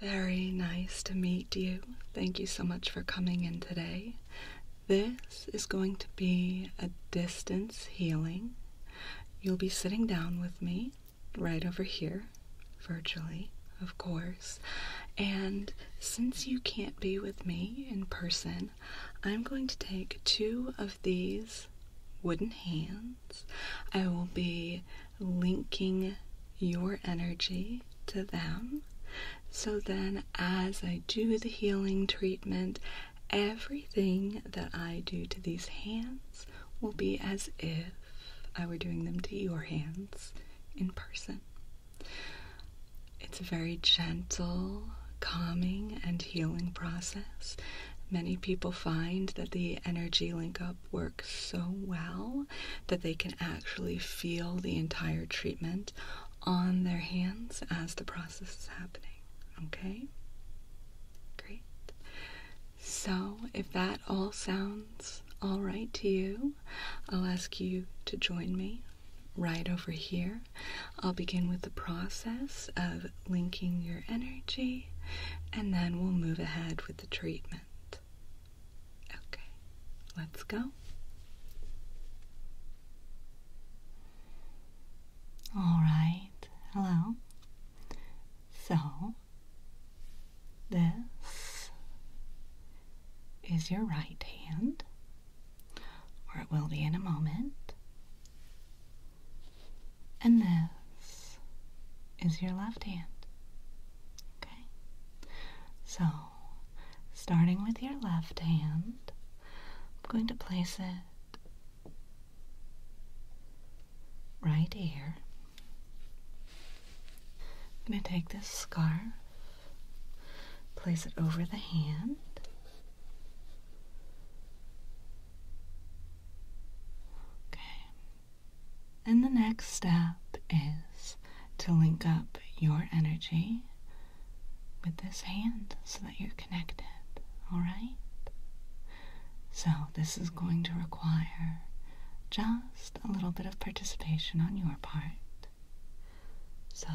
Very nice to meet you. Thank you so much for coming in today. This is going to be a distance healing. You'll be sitting down with me right over here, virtually, of course. And since you can't be with me in person, I'm going to take two of these wooden hands. I will be linking your energy to them. So then, as I do the healing treatment, everything that I do to these hands will be as if I were doing them to your hands in person. It's a very gentle, calming, and healing process. Many people find that the energy link up works so well that they can actually feel the entire treatment on their hands as the process is happening. Okay? Great. So, if that all sounds all right to you, I'll ask you to join me right over here. I'll begin with the process of linking your energy, and then we'll move ahead with the treatment. Okay, let's go. All right, hello. So, this is your right hand, or it will be in a moment, and this is your left hand. Okay, so starting with your left hand, I'm going to place it right here. I'm going to take this scarf, place it over the hand. Okay. And the next step is to link up your energy with this hand so that you're connected, alright? So, this is going to require just a little bit of participation on your part. So,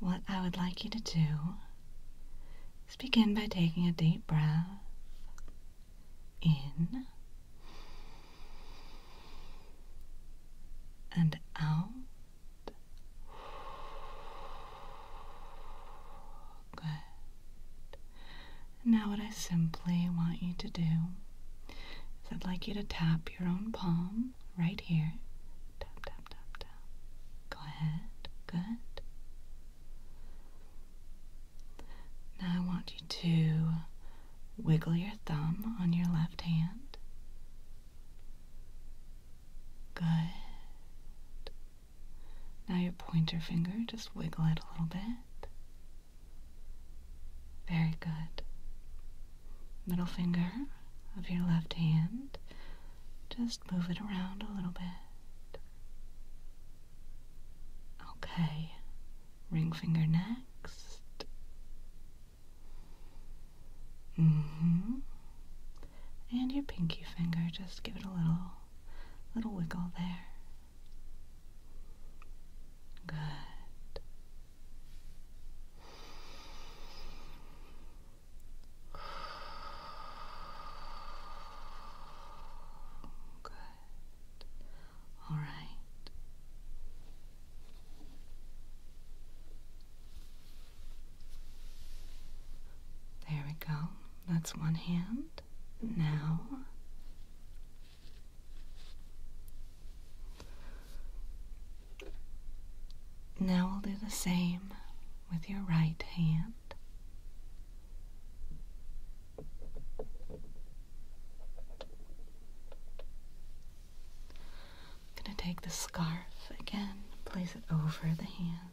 what I would like you to do is begin by taking a deep breath in and out. Good. Now, what I simply want you to do is I'd like you to tap your own palm right here. Tap, tap, tap, tap. Go ahead. Good. Now, I want you to wiggle your thumb on your left hand. Good. Now your pointer finger, just wiggle it a little bit. Very good. Middle finger of your left hand, just move it around a little bit. Okay. Ring finger next. Mm-hmm. And your pinky finger, just give it a little little wiggle there. Good. Good. All right. There we go. That's one hand. Now, now we'll do the same with your right hand. I'm going to take the scarf again, place it over the hand.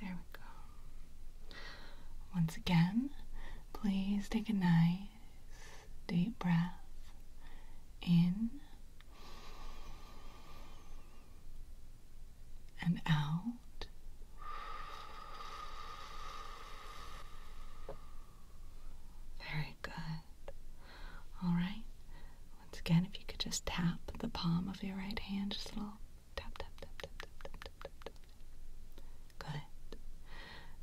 There we go. Once again, please take a nice deep breath in and out. Very good. All right. Once again, if you could just tap the palm of your right hand, just a little tap, tap, tap, tap, tap, tap, tap, tap, Good.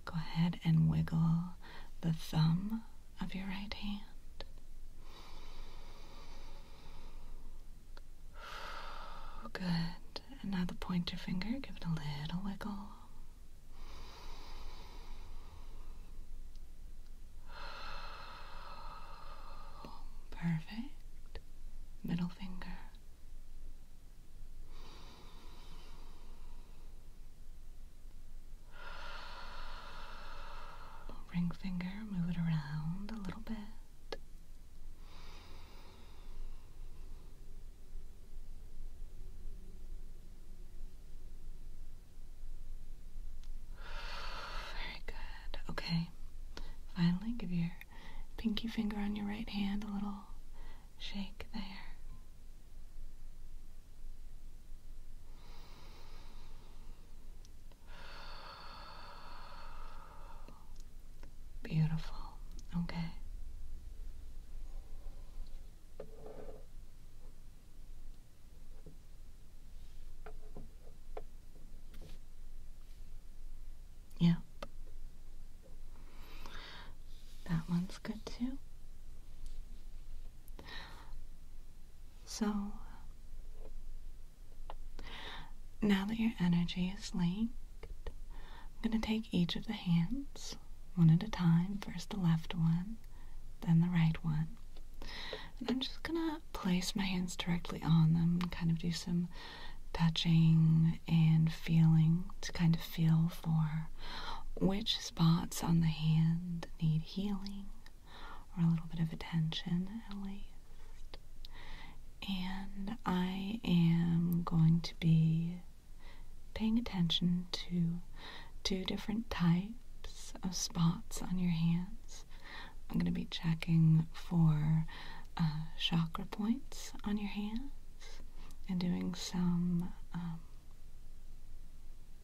Go ahead and wiggle the thumb of your right hand. Good. And now the pointer finger, give it a little wiggle. Perfect. Middle finger. Ring finger, move it around a little bit. Very good. Okay. Finally, give your pinky finger on your right hand a little shake there. Beautiful. Okay. Yeah. That one's good too. So, now that your energy is linked, I'm going to take each of the hands one at a time. First the left one, then the right one. And I'm just going to place my hands directly on them and kind of do some touching and feeling to kind of feel for which spots on the hand need healing or a little bit of attention at least. And I am going to be paying attention to two different types of spots on your hands. I'm going to be checking for uh, chakra points on your hands and doing some um,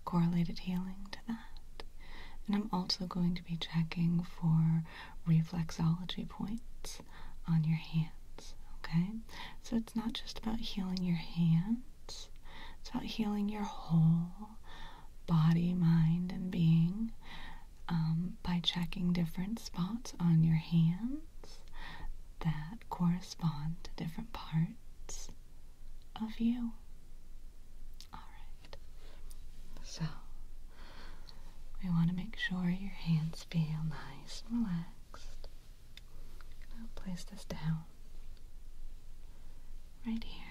correlated healing to that. And I'm also going to be checking for reflexology points on your hands. Okay? So it's not just about healing your hands, it's about healing your whole body, mind, and being um, by checking different spots on your hands that correspond to different parts of you. Alright. So. We want to make sure your hands feel nice and relaxed I'll place this down right here.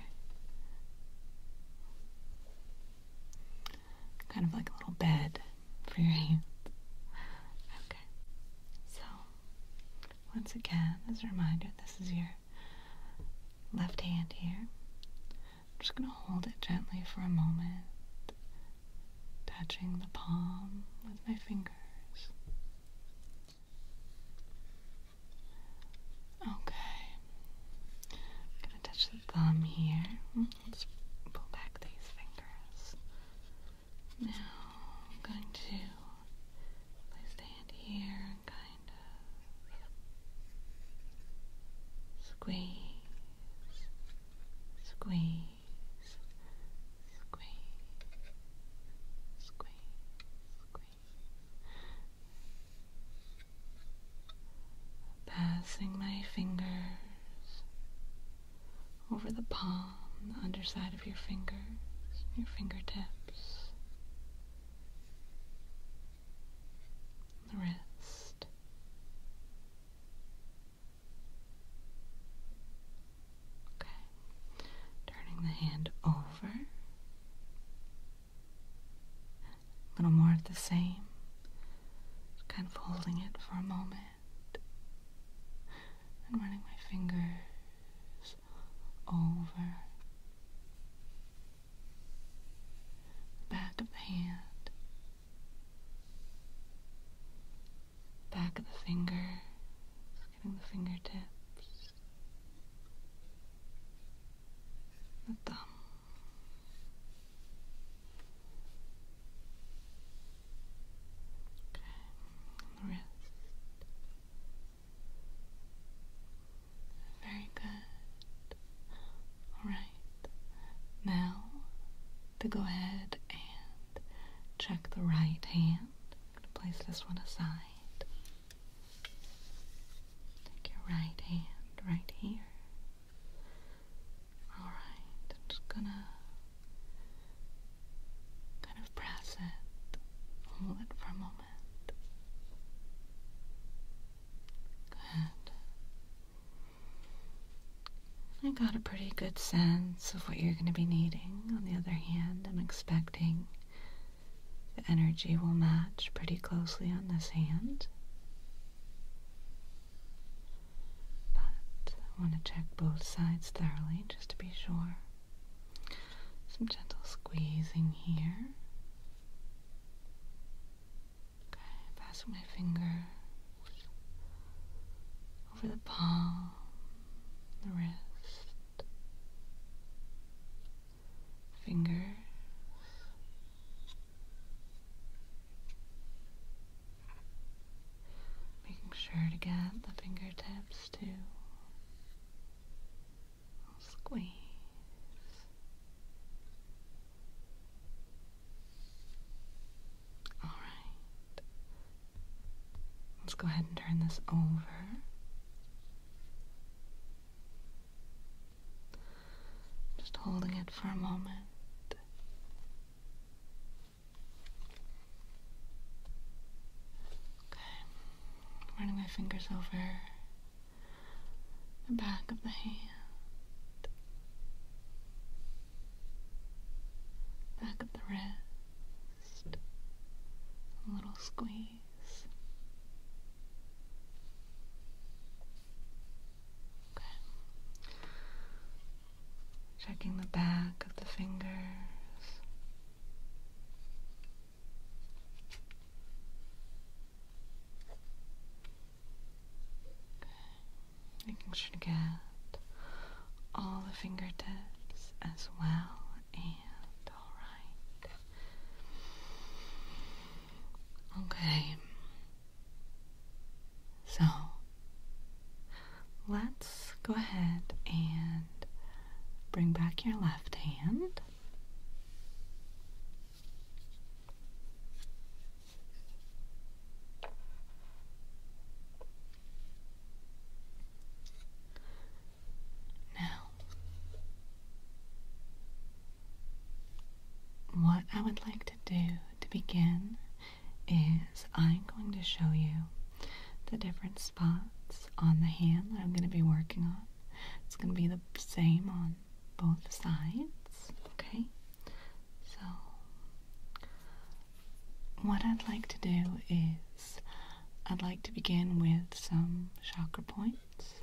Kind of like a little bed for your hands. Okay. So, once again, as a reminder, this is your left hand here. I'm just going to hold it gently for a moment touching the palm with my fingers. Okay, gonna touch the thumb here. Let's pull back these fingers. Now I'm going to place hand here and kind of squeeze, squeeze squeeze, squeeze, squeeze. Passing my fingers over the palm, the underside of your fingers, your fingertips, the wrist. Okay. Turning the hand over. A little more of the same. kind of holding it for a moment. And running my fingers over the back of the hand back of the finger, getting the fingertips, the thumb. Okay, wrist. Very good. All right. Now to go ahead and Check the right hand. i going to place this one aside. Take your right hand right here. Alright, just gonna kind of press it. Hold it for a moment. Good. I got a pretty good sense of what you're going to be needing. On the other hand, I'm expecting the energy will match pretty closely on this hand. But I want to check both sides thoroughly just to be sure. Some gentle squeezing here. Okay, passing my finger over the palm, the wrist, fingers. Making sure to get the fingertips too. squeeze. All right. Let's go ahead and turn this over. Just holding it for a moment. Okay. Running my fingers over the back of the hand, back of the wrist. Just a little squeeze. Okay. Checking the back of the fingers. Okay. Making sure to get all the fingertips as well. And alright. Okay. So let's go ahead and bring back your left hand. Now, what I would like to do to begin is I'm going to show you the different spots on the hand that I'm going to be working on. It's going to be the same on both sides, okay? So, what I'd like to do is I'd like to begin with some chakra points,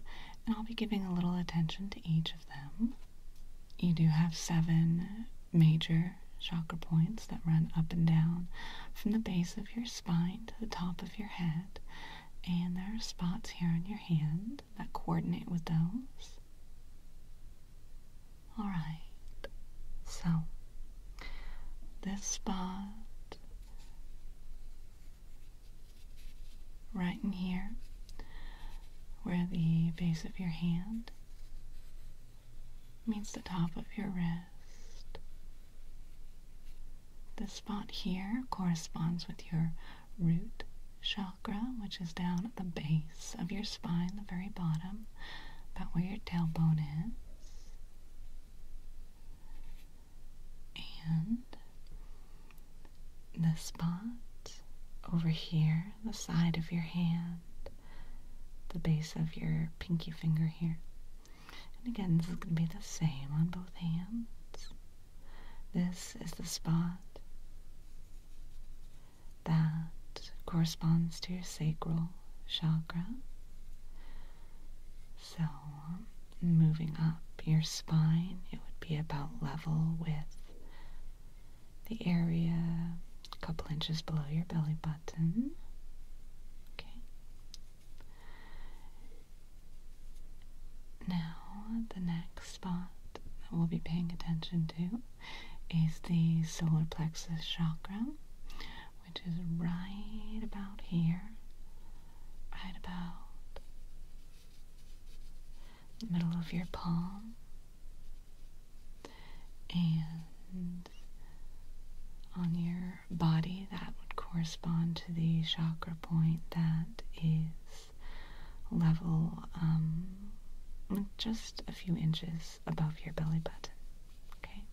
and I'll be giving a little attention to each of them. You do have seven major chakra points that run up and down from the base of your spine to the top of your head, and there are spots here on your hand that coordinate with those. Alright, so this spot right in here where the base of your hand meets the top of your wrist. This spot here corresponds with your root chakra, which is down at the base of your spine, the very bottom, about where your tailbone is and the spot over here, the side of your hand, the base of your pinky finger here. And again, this is going to be the same on both hands. This is the spot that corresponds to your sacral chakra. So, um, moving up your spine, it would be about level with the area a couple inches below your belly button. Okay. Now, the next spot that we'll be paying attention to is the solar plexus chakra, which is right about here, right about the middle of your palm, and on your body, that would correspond to the chakra point that is level um, just a few inches above your belly button. Okay?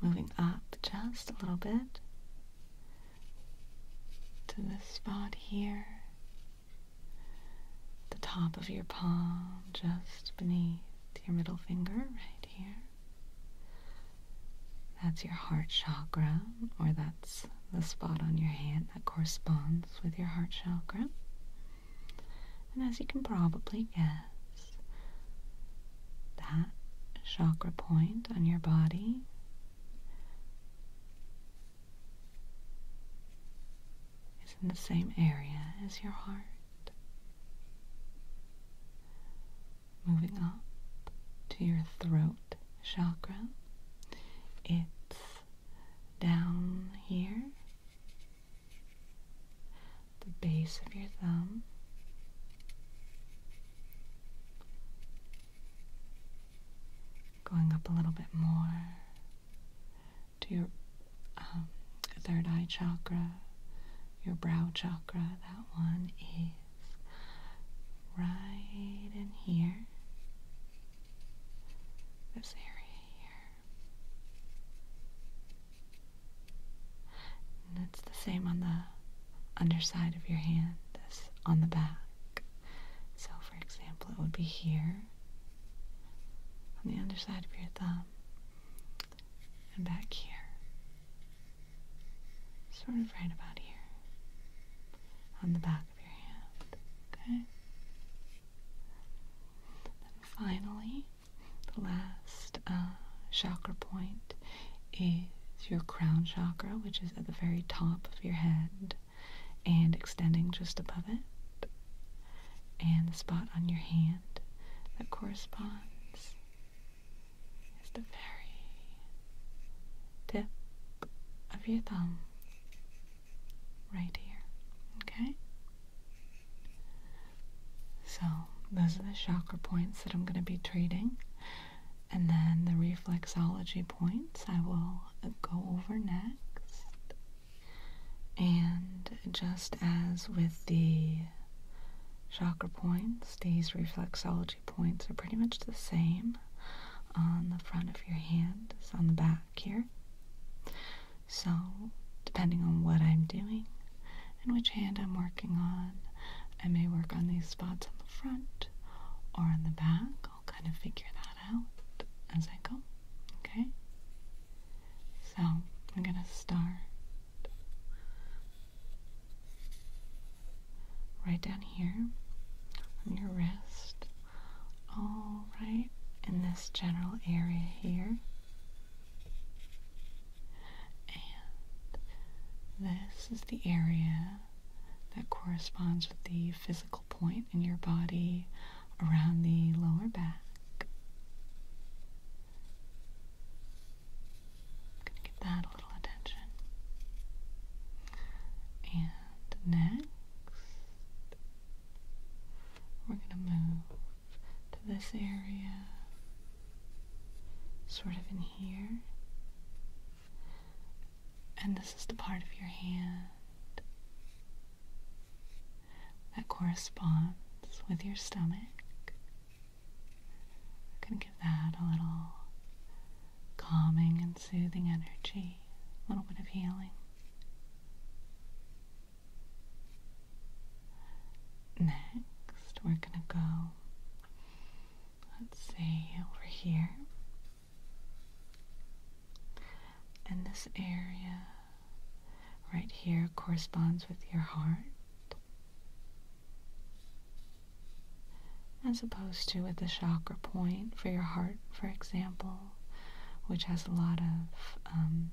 Moving up just a little bit to the spot here, the top of your palm just beneath your middle finger right here. That's your heart chakra, or that's the spot on your hand that corresponds with your heart chakra. And as you can probably guess, that chakra point on your body is in the same area as your heart. Moving up to your throat chakra, it's down here the base of your thumb. Going up a little bit more to your um, third eye chakra, your brow chakra. That one is right in here, this area here it's the same on the underside of your hand as on the back. So, for example, it would be here on the underside of your thumb and back here. Sort of right about here on the back of your hand. Okay? And finally, the last uh, chakra point is your crown chakra, which is at the very top of your head and extending just above it, and the spot on your hand that corresponds is the very tip of your thumb right here. Okay? So, those are the chakra points that I'm going to be treating. And then the reflexology points I will go over next. And just as with the chakra points, these reflexology points are pretty much the same on the front of your hand as on the back here. So, depending on what I'm doing and which hand I'm working on, I may work on these spots on the front or on the back. I'll kind of figure that out as I go. Okay? So, I'm going to start right down here on your wrist all right in this general area here. And this is the area that corresponds with the physical point in your body around the lower back. I'm going to give that a little attention. And next, we're going to move to this area, sort of in here. And this is the part of your hand that corresponds with your stomach. I'm going to give that a little calming and soothing energy, a little bit of healing. Next, we're gonna go, let's see, over here. And this area right here corresponds with your heart, as opposed to at the chakra point for your heart, for example, which has a lot of um,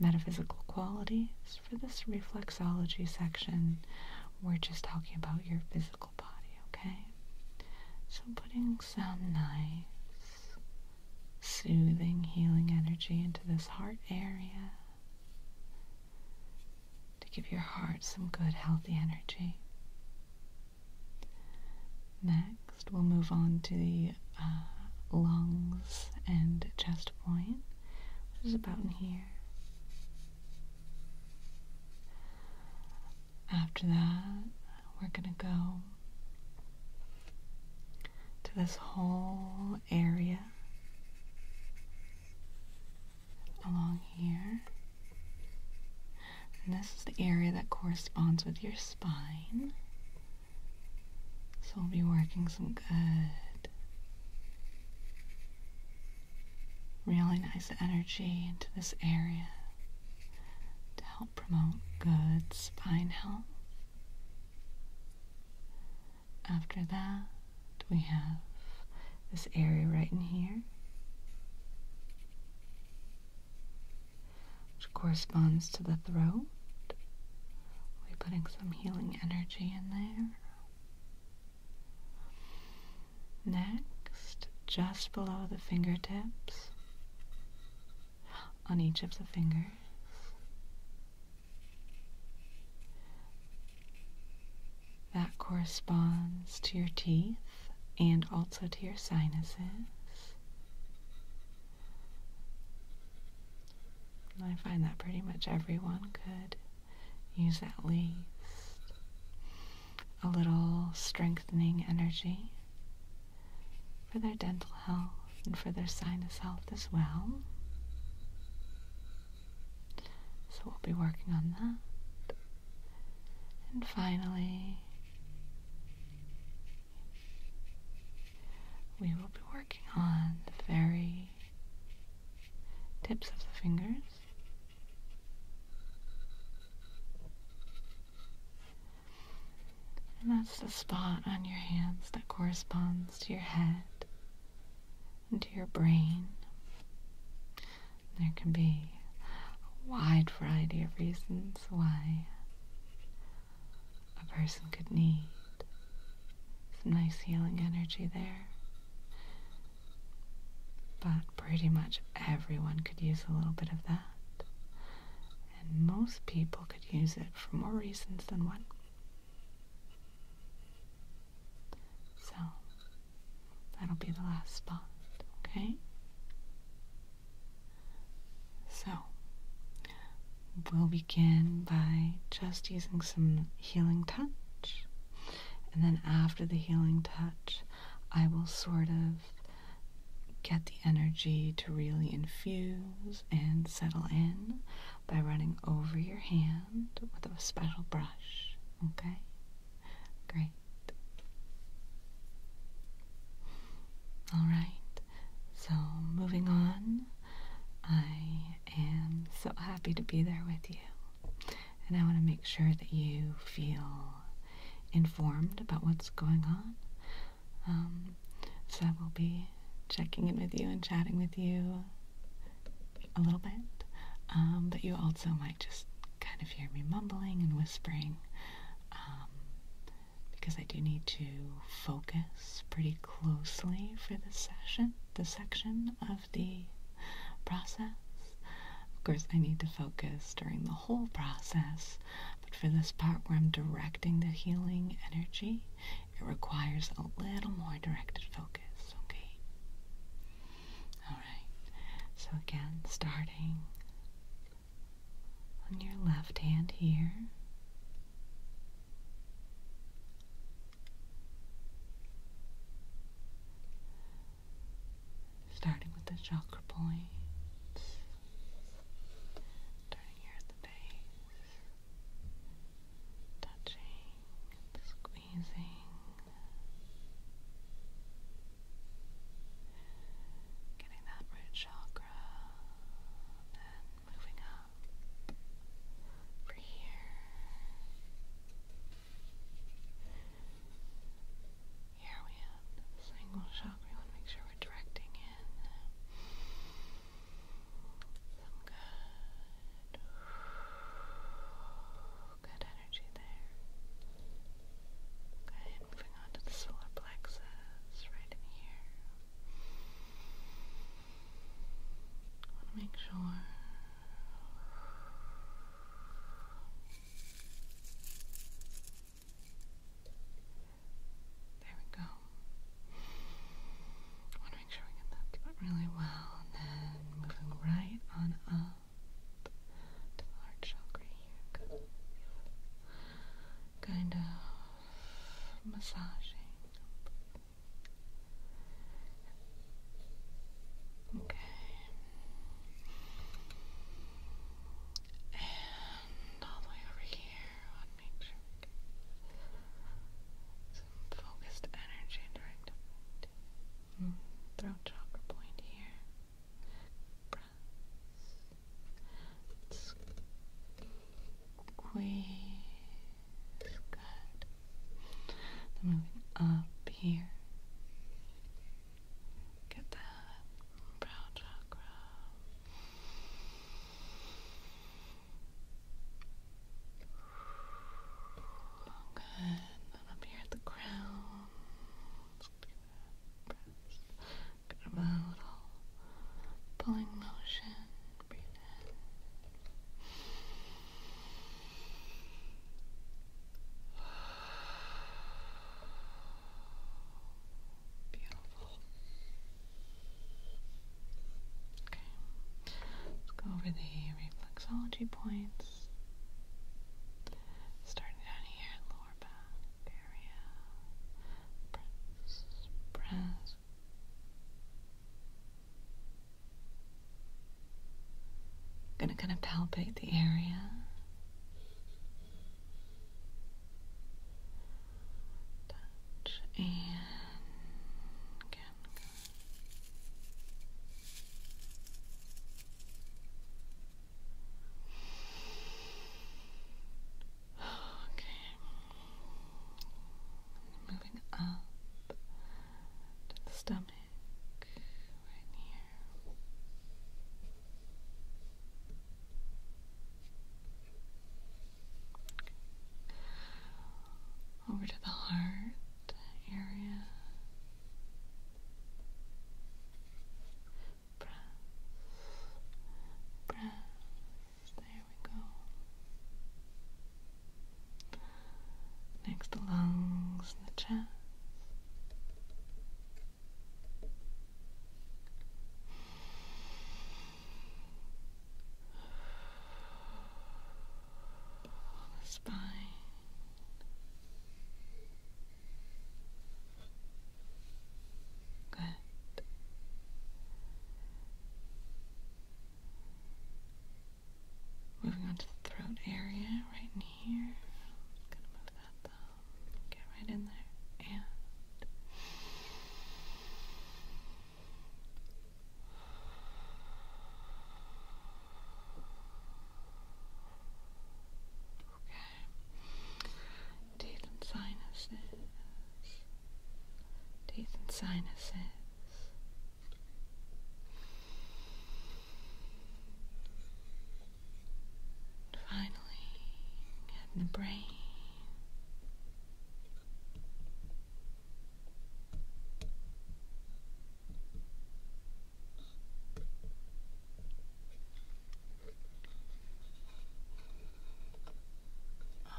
metaphysical qualities. For this reflexology section, we're just talking about your physical body, okay? So putting some nice, soothing, healing energy into this heart area to give your heart some good, healthy energy. Next, we'll move on to the uh, lungs and chest point, which is about in here. After that, we're going to go to this whole area along here. And this is the area that corresponds with your spine. So we'll be working some good, really nice energy into this area to help promote good spine health. After that, we have this area right in here which corresponds to the throat. we putting some healing energy in there. Next, just below the fingertips, on each of the fingers. That corresponds to your teeth and also to your sinuses. I find that pretty much everyone could use at least a little strengthening energy for their dental health and for their sinus health as well. So we'll be working on that. And finally, we will be working on the very tips of the fingers. And that's the spot on your hands that corresponds to your head and to your brain. There can be a wide variety of reasons why a person could need. Some nice healing energy there. But pretty much everyone could use a little bit of that. And most people could use it for more reasons than one. So, that'll be the last spot, okay? So, we'll begin by just using some healing touch, and then after the healing touch, I will sort of get the energy to really infuse and settle in by running over your hand with a special brush. Okay? Great. All right. So, moving on, I am so happy to be there with you. And I want to make sure that you feel informed about what's going on. Um, so, I will be checking in with you and chatting with you a little bit. Um, but you also might just kind of hear me mumbling and whispering. Um, because I do need to focus pretty closely for this session, the section of the process. Of course, I need to focus during the whole process, but for this part where I'm directing the healing energy, it requires a little more directed focus, okay? Alright, so again, starting on your left hand here. Starting with the chakra points, starting here at touching, squeezing, getting that root chakra, moving up for here. Here we have this angle We want to make sure we're directing in some good, good energy there. Okay, moving on to the solar plexus right in here. Make sure. There we go. I want to make sure we get that really well, and then moving right on up to the heart chakra here. Kind of massaging. Okay. And all the way over here, I want to make sure some focused energy directed. Hmm. Throat chakra point here. Squeeze. Good. moving up here. Get that brow chakra. Good. up here at the crown. Good little pulling motion. Beautiful. Okay. Let's go over the reflexology points. Starting down here, lower area. Press, press. I'm gonna kind of palpate the area. and Okay. Moving up to the stomach, right here. Over to the heart area press, press. There we go. Next, the lungs and the chest. The spine. Good. Moving on to the throat area right here. gonna move that thumb. Get right in there. And Okay teeth and sinuses, teeth and sinuses. Finally, and the brain.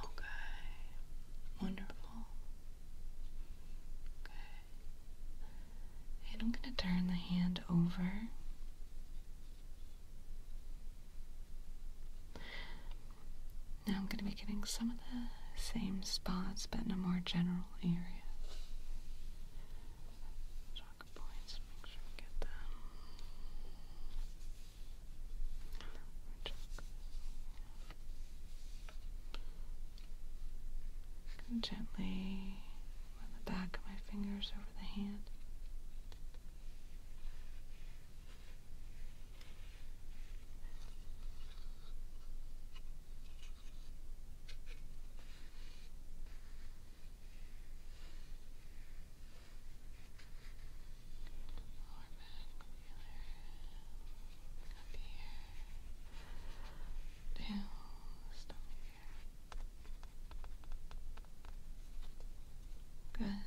Okay. Wonderful. Okay. And I'm going to turn the hand over. Now I'm going to be getting some of the same spots, but in a more general area. Points, make sure we get them gently run the back of my fingers over the hand up here, down, stomach here. Good.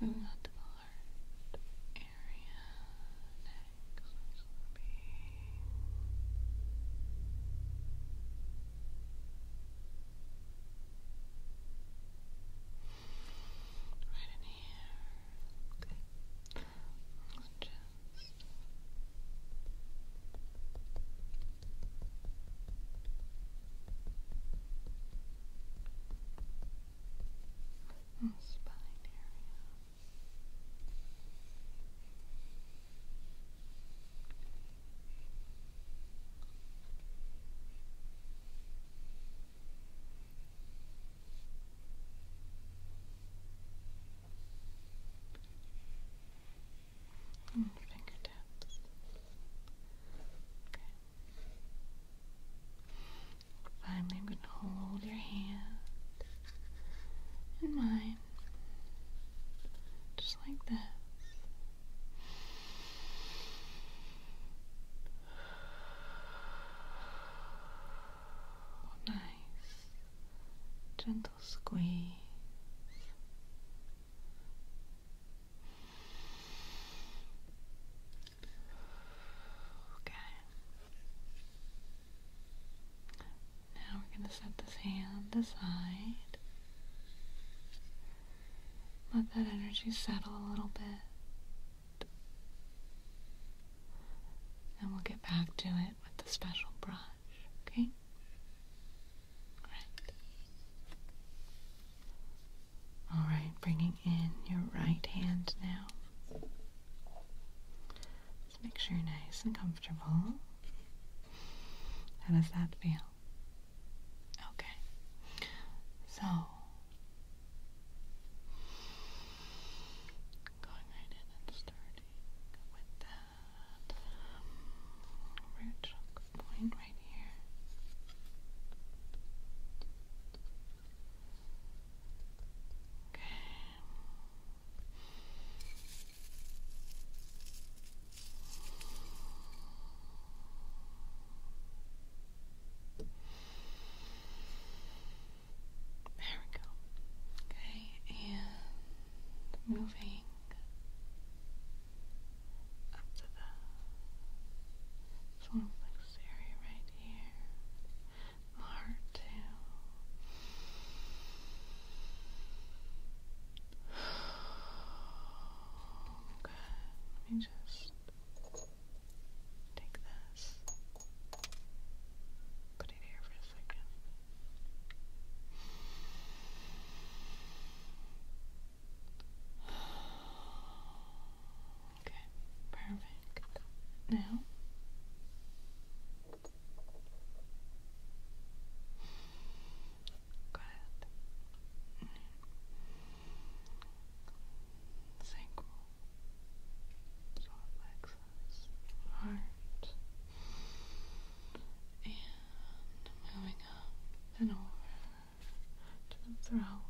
Moving on to the heart area next. will be Right in here. Okay. Just spine area. And fingertips. Okay. Finally, I'm going to hold your hand in mine, just like this. Nice gentle squeeze. Okay. Now we're going to set this hand aside. Let that energy settle a little bit. And we'll get back to it with the special brush, okay? Right. All right, bringing in your right hand now. Just make sure you're nice and comfortable. How does that feel? Okay. So going right in and starting with that root point right here. Okay. There we go. Okay, and moving to the solarplexus area right here. The heart too. Okay, let me just take this, put it here for a second. Okay, perfect. Now. Good. Mm. Sacral. Solar Heart. And moving up and over to the throat.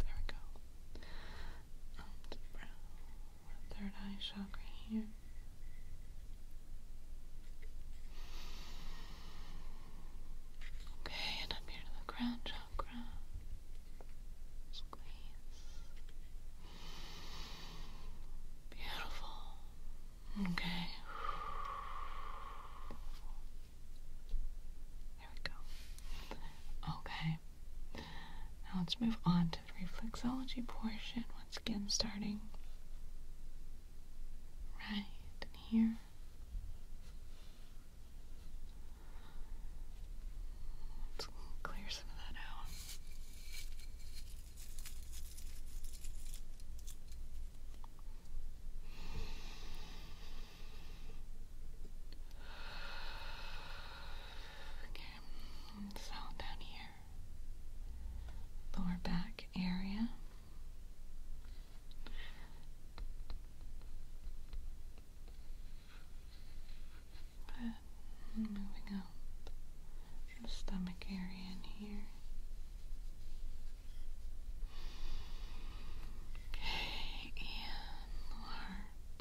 There we go. to the brow third eye chakra here. Okay, and up here to the crown chakra. Squeeze. Beautiful. Okay. There we go. Okay. Now let's move on to the reflexology portion, once again starting right here. Let's clear some of that out. Okay, down here, lower back area. moving up stomach area in here. Okay, and the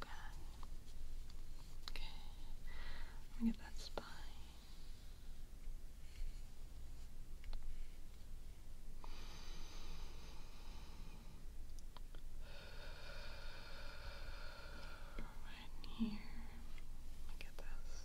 Good. Okay. Let me get that spine. Right in here. Let me get this.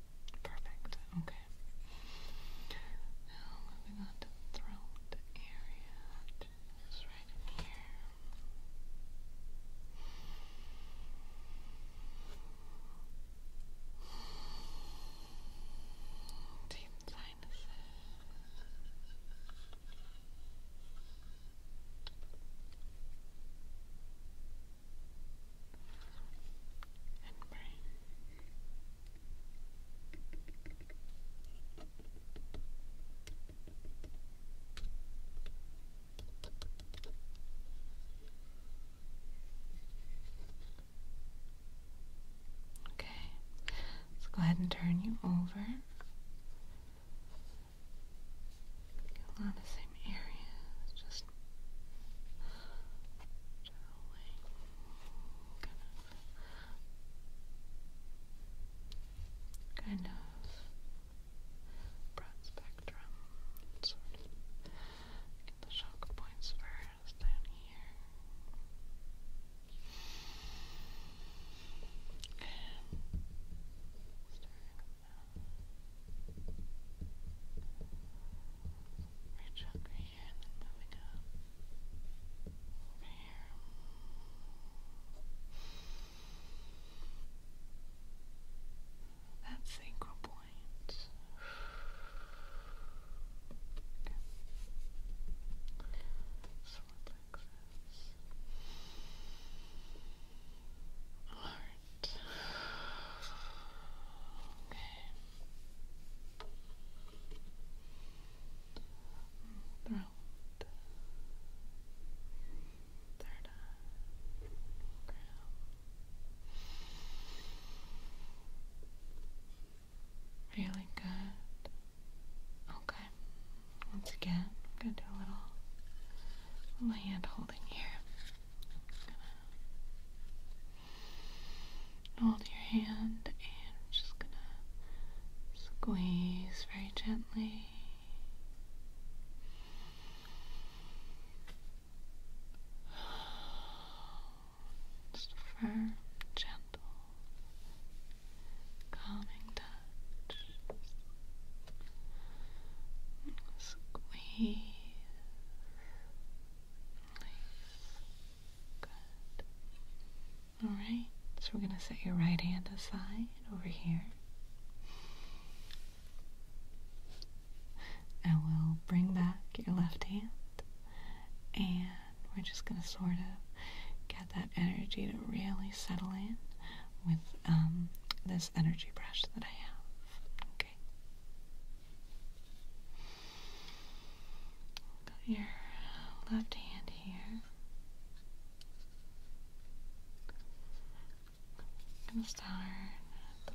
Perfect. Okay. Now moving on to throat area, just right here. Deep sinuses. Okay, let's go ahead and turn you over a lot of the same areas, just kind of kind of broad spectrum sort of get the shock points first down here. And Reach up here and then moving up. Over here. That's the point. Alright right. Okay. Throat. Really good. Okay. Once again, I'm gonna do a little hand holding here hold your hand and just gonna squeeze very gently. Just firm, gentle, calming touch. Alright, so we're going to set your right hand aside over here. I will bring back your left hand, and we're just going to sort of get that energy to really settle in with um, this energy brush that I have. Got your left hand here. I'm gonna start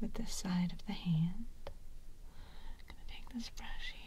with the side of the hand. I'm gonna take this brush here.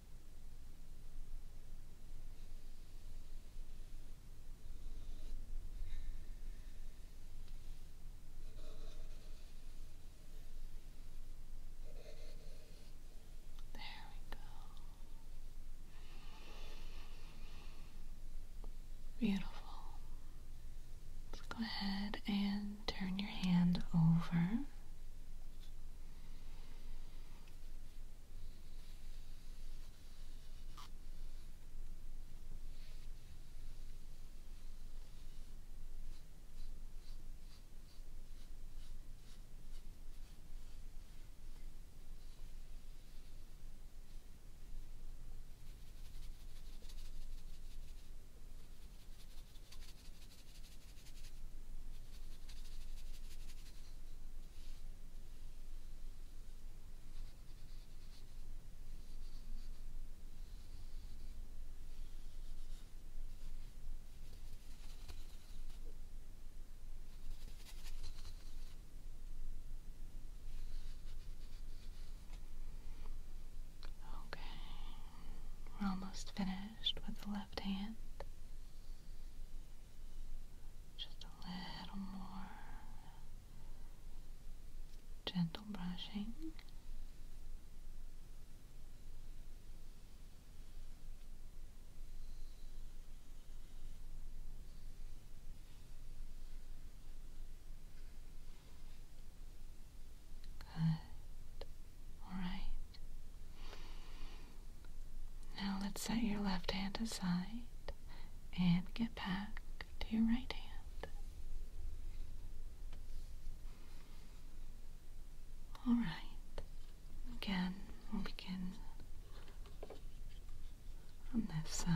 There we go. Beautiful. Let's go ahead and turn your hand over. Okay, we're almost finished with the left hand. Just a little more gentle brushing. Good. All right. Now let's set your left hand aside and get back to your right hand. All right. Again, we'll begin on this side.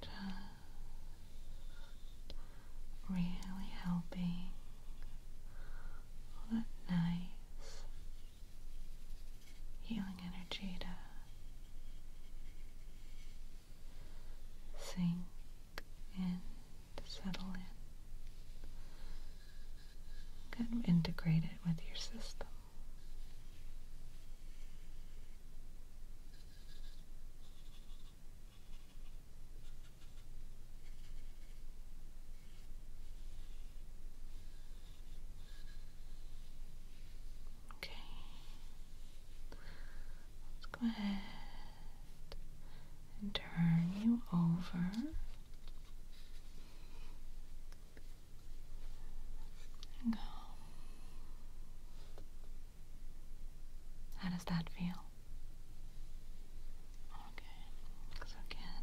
Just really helping all nice healing energy to sink in to settle in. Kind integrate it with your system. Okay. Let's go ahead and turn you over. How does that feel? Okay, so again.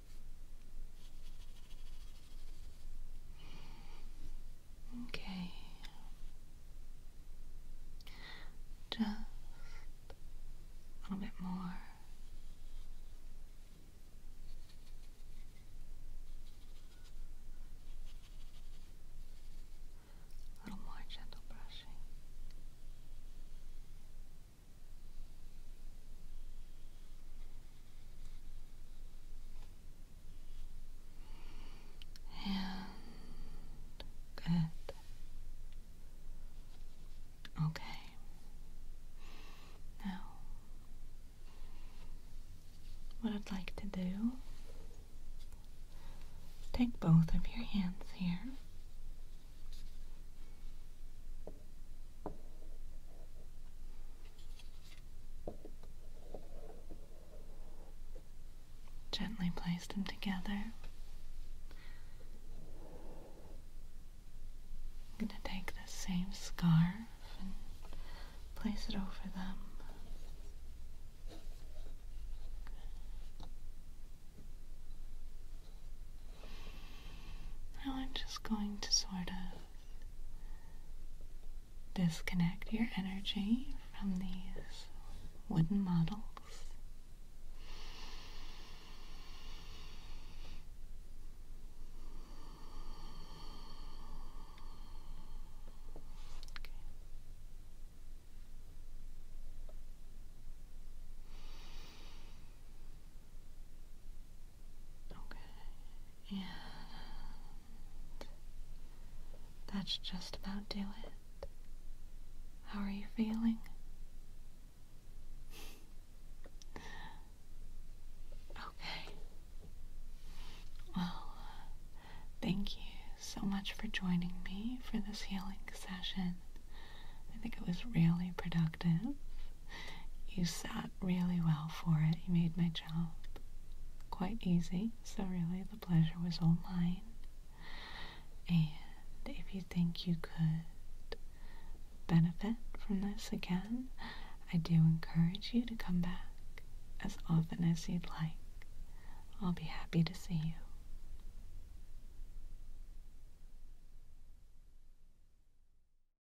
Okay. Just a little bit more. A little more gentle brushing. And good. Okay. Now, what I'd like to do take both of your hands here Gently place them together. going to take the same scarf and place it over them. Now I'm just going to sort of disconnect your energy from these wooden models. Okay. And that's just about do it. How are you feeling? okay. Well, thank you so much for joining me for this healing session. I think it was really productive you sat really well for it. You made my job quite easy, so really the pleasure was all mine. And if you think you could benefit from this again, I do encourage you to come back as often as you'd like. I'll be happy to see you.